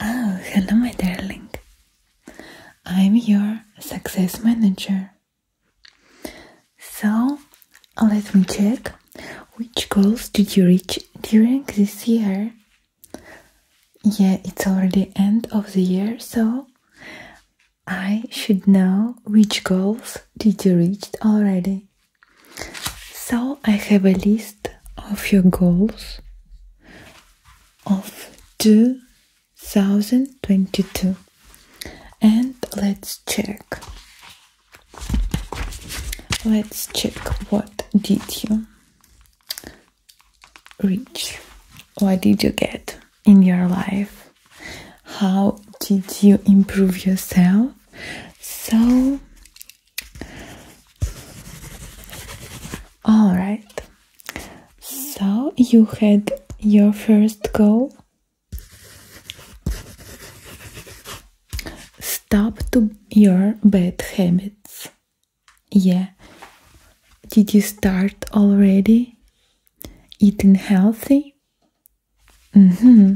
Oh, hello, my darling. I'm your success manager. So, let me check which goals did you reach during this year? Yeah, it's already end of the year, so I should know which goals did you reach already. So, I have a list of your goals of 2022 and let's check let's check what did you reach what did you get in your life how did you improve yourself so all right. So you had your first goal. Stop to your bad habits. Yeah. Did you start already? Eating healthy? Mm-hmm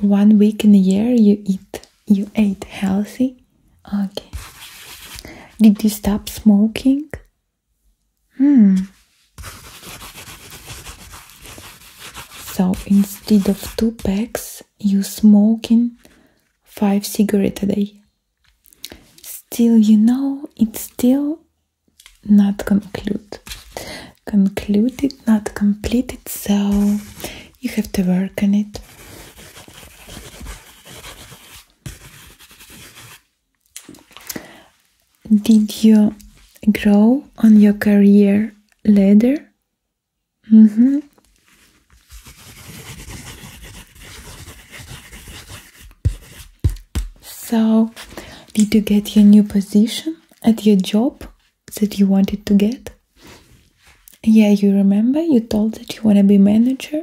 one week in a year you eat you ate healthy? Okay. Did you stop smoking? Hmm. So instead of two packs, you smoking five cigarette a day. Still, you know, it's still not conclude concluded, not completed, so you have to work on it. Did you grow on your career ladder? Mm -hmm. So, did you get your new position at your job that you wanted to get? Yeah, you remember you told that you want to be manager?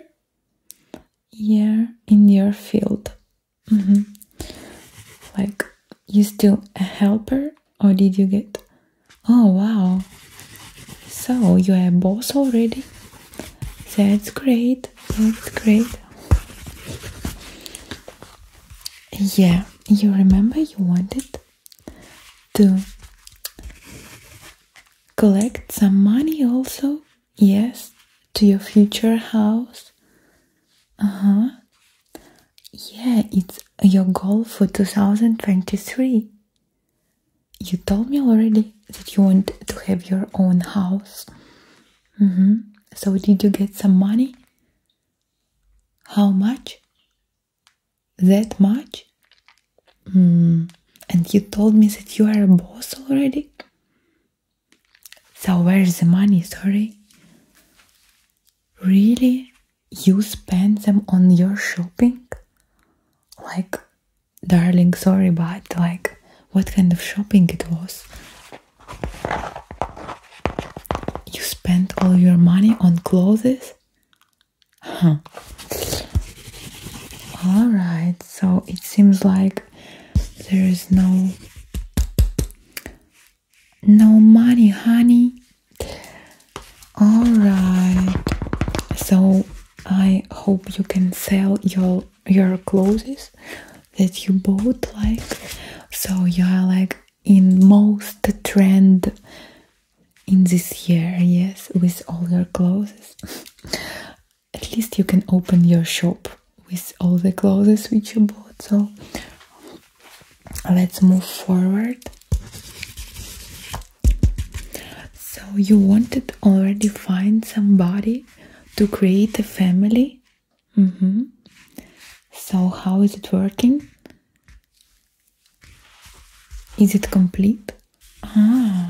Yeah, in your field. Mm-hmm. Like, you still a helper or did you get? Oh, wow. So, you are a boss already? That's great. That's great. Yeah, you remember you wanted to collect some money also? Yes, to your future house. Uh-huh. Yeah, it's your goal for 2023. You told me already that you want to have your own house. Mm-hmm. So did you get some money? How much? That much? Hmm, and you told me that you are a boss already? So where's the money? Sorry. Really? You spend them on your shopping? Like, darling, sorry, but like, what kind of shopping it was? You spent all your money on clothes? Huh. Alright, so it seems like there is no no money, honey. Alright. So I hope you can sell your your clothes that you bought like so you are like in most trend in this year, yes, with all your clothes. At least you can open your shop with all the clothes which you bought. So let's move forward. So you wanted already find somebody to create a family Mm -hmm. So, how is it working? Is it complete? Ah,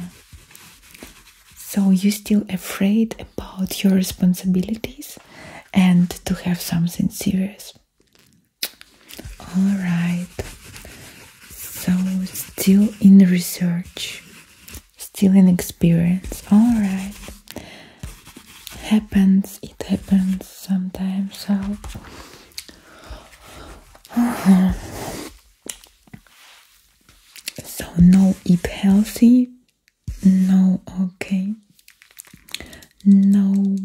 so you still afraid about your responsibilities and to have something serious? All right. So, still in research, still in experience. All right happens, it happens sometimes. So, uh-huh. so no eat healthy, no okay, no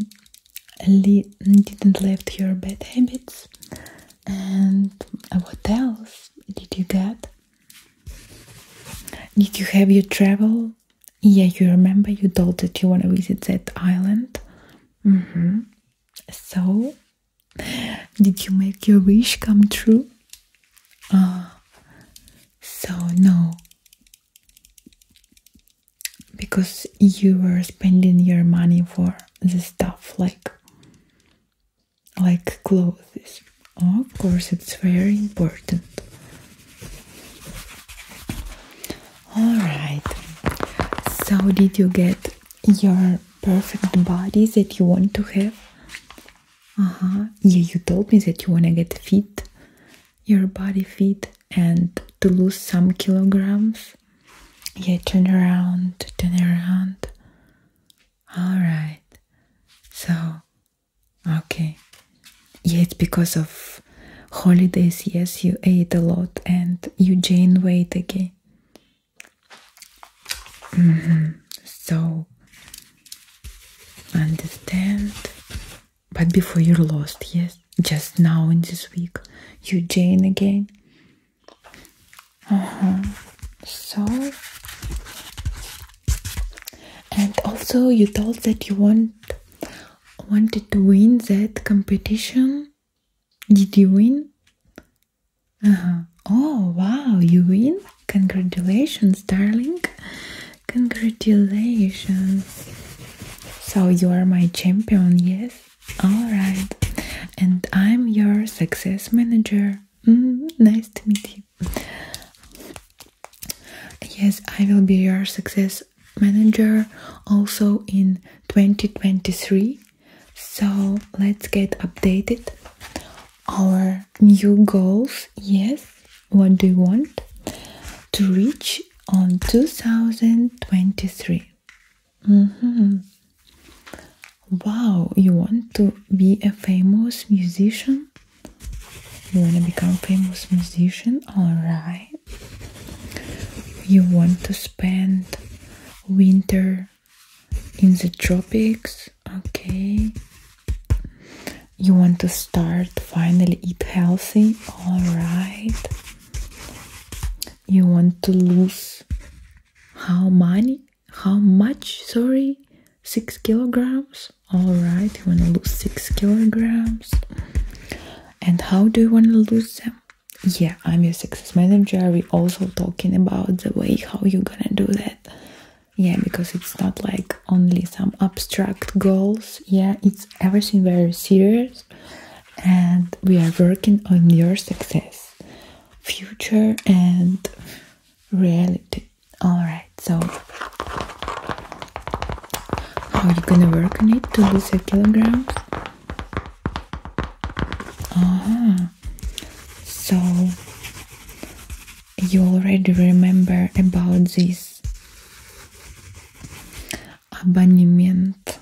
didn't left your bad habits. And what else did you get? Did you have your travel? Yeah, you remember you told that you want to visit that island? Mm-hmm. So, did you make your wish come true? Ah, so no. Because you were spending your money for the stuff like like clothes. of course, it's very important. All right. So, did you get your perfect body that you want to have? Uh huh. Yeah, you told me that you want to get fit, your body fit, and to lose some kilograms. Yeah, turn around, turn around. All right. So, Okay. Yes, because of holidays, yes, you ate a lot and you gained weight again. Mm-hmm. So, understand. But before you lost, yes, just now in this week, you gain again. Uh -huh. So, and also you told that you want wanted to win that competition did you win uh-huh. oh wow you win congratulations darling congratulations so you are my champion yes all right and i'm your success manager mm-hmm. nice to meet you yes i will be your success manager also in 2023 so let's get updated our new goals yes what do you want to reach on 2023 mm -hmm. wow you want to be a famous musician you wanna become famous musician? Alright. You want to spend winter in the tropics? Okay. You want to start finally eat healthy? Alright. You want to lose how money? How much? Sorry, six kilograms all right you want to lose six kilograms and how do you want to lose them yeah i'm your success manager we also talking about the way how you're gonna do that yeah because it's not like only some abstract goals yeah it's everything very serious and we are working on your success future and reality Alright, so how are you gonna work on it to lose your kilograms? Ah, uh-huh. so you already remember about this abonnement.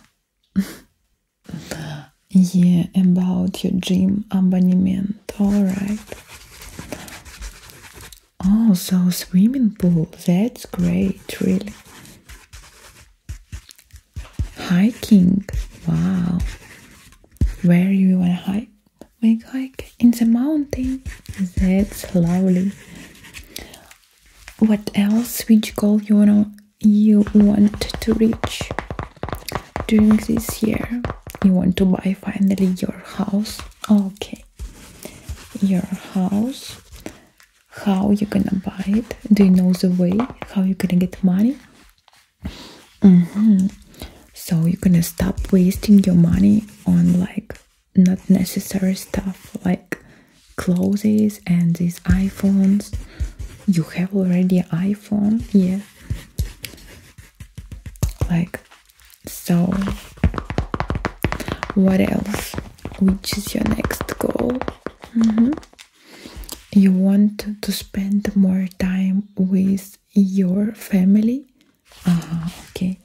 yeah, about your gym abonnement. Alright. Oh, so swimming pool. That's great, really. Hiking. Wow. Where you wanna hike? Make hike in the mountains. That's lovely. What else? Which goal you want you want to reach during this year? You want to buy finally your house? Okay, your house. How you gonna buy it? Do you know the way? How you gonna get money? Mm-hmm. So you gonna stop wasting your money on like not necessary stuff like clothes and these iPhones. You have already iPhone, yeah. Like so, what else? Which is your next goal? Mm-hmm. You want to spend more time with your family? Uh okay.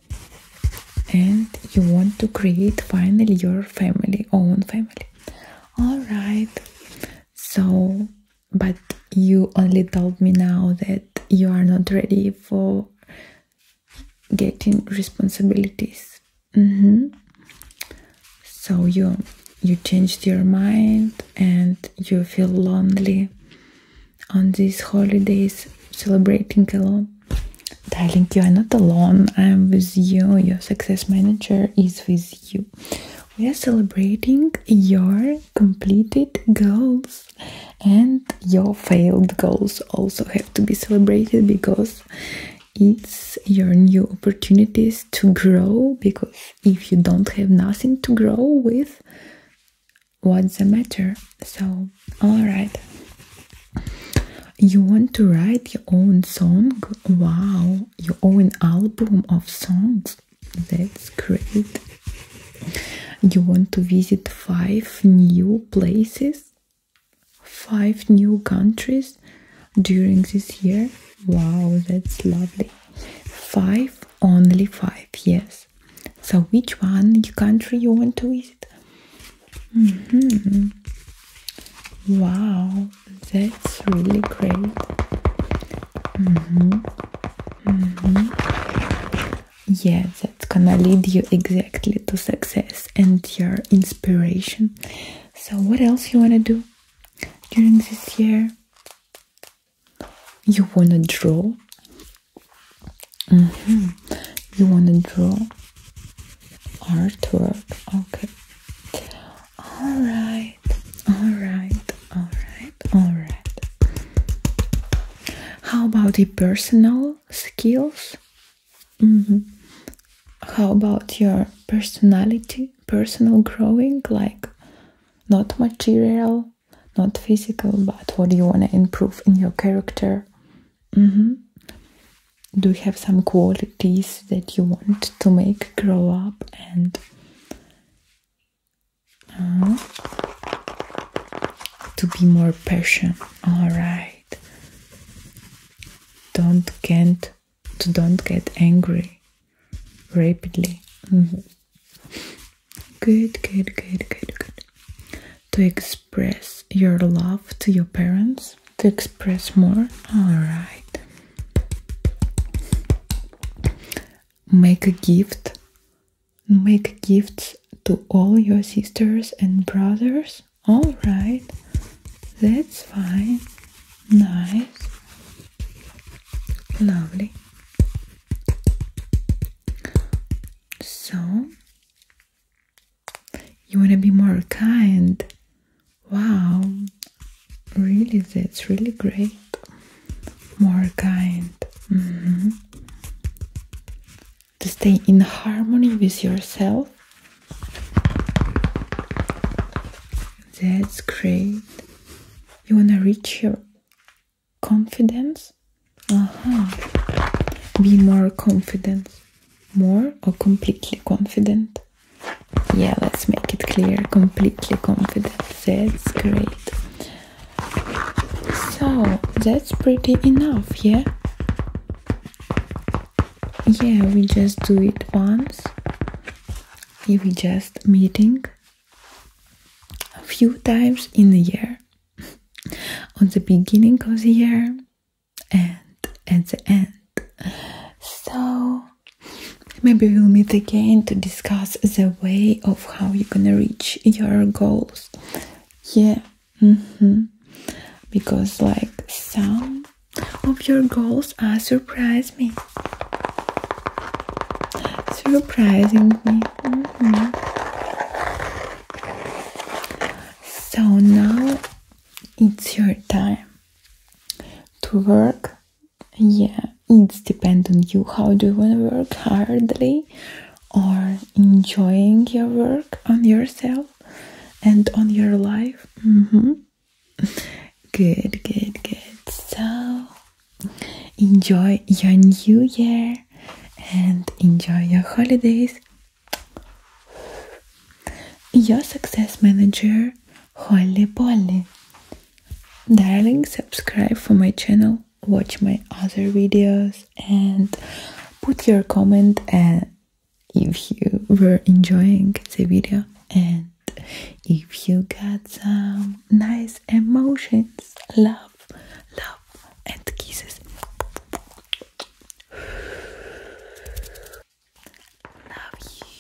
And you want to create finally your family, own family. All right. So, but you only told me now that you are not ready for getting responsibilities mm-hmm. so you you changed your mind and you feel lonely on these holidays celebrating alone darling you are not alone i'm with you your success manager is with you we are celebrating your completed goals and your failed goals also have to be celebrated because it's your new opportunities to grow because if you don't have nothing to grow with what's the matter so all right you want to write your own song wow your own album of songs that's great. You want to visit five new places, five new countries during this year? Wow, that's lovely. Five, only five, yes. So, which one country you want to visit? -hmm. Wow, that's really great. Mm-hmm. Mm-hmm. Yeah, that's gonna lead you exactly to success and your inspiration. So, what else you wanna do during this year? You wanna draw. Mm-hmm. You wanna draw artwork. Okay. All right. All right alright, alright. How about the personal skills? Mm-hmm. How about your personality, personal growing? Like, not material, not physical, but what do you want to improve in your character? Mm-hmm. Do you have some qualities that you want to make grow up and uh-huh. to be more patient. All right. Don't get to don't get angry rapidly. Mm-hmm. Good, good, good, good, good. To express your love to your parents. To express more. All right make a gift make gifts to all your sisters and brothers all right that's fine nice lovely so you want to be more kind wow really that's really great more kind. Mm-hmm. To stay in harmony with yourself. That's great. You wanna reach your confidence? Uh -huh. Be more confident. More or completely confident? Yeah, let's make it clear. Completely confident. That's great. So that's pretty enough, yeah? Yeah, we just do it once. We just meeting a few times in the year. On the beginning of the year and at the end. So Maybe we'll meet again to discuss the way of how you're gonna reach your goals. Yeah, mm-hmm. because like some of your goals are surprising me, surprising me. Mm-hmm. So now it's your time to work yeah it's depend on you how do you want to work hardly or enjoying your work on yourself and on your life mm-hmm. good good good so enjoy your new year and enjoy your holidays your success manager holly polly Darling, subscribe for my channel, watch my other videos and put your comment uh, if you were enjoying the video and if you got some nice emotions, love, love and kisses. Love you.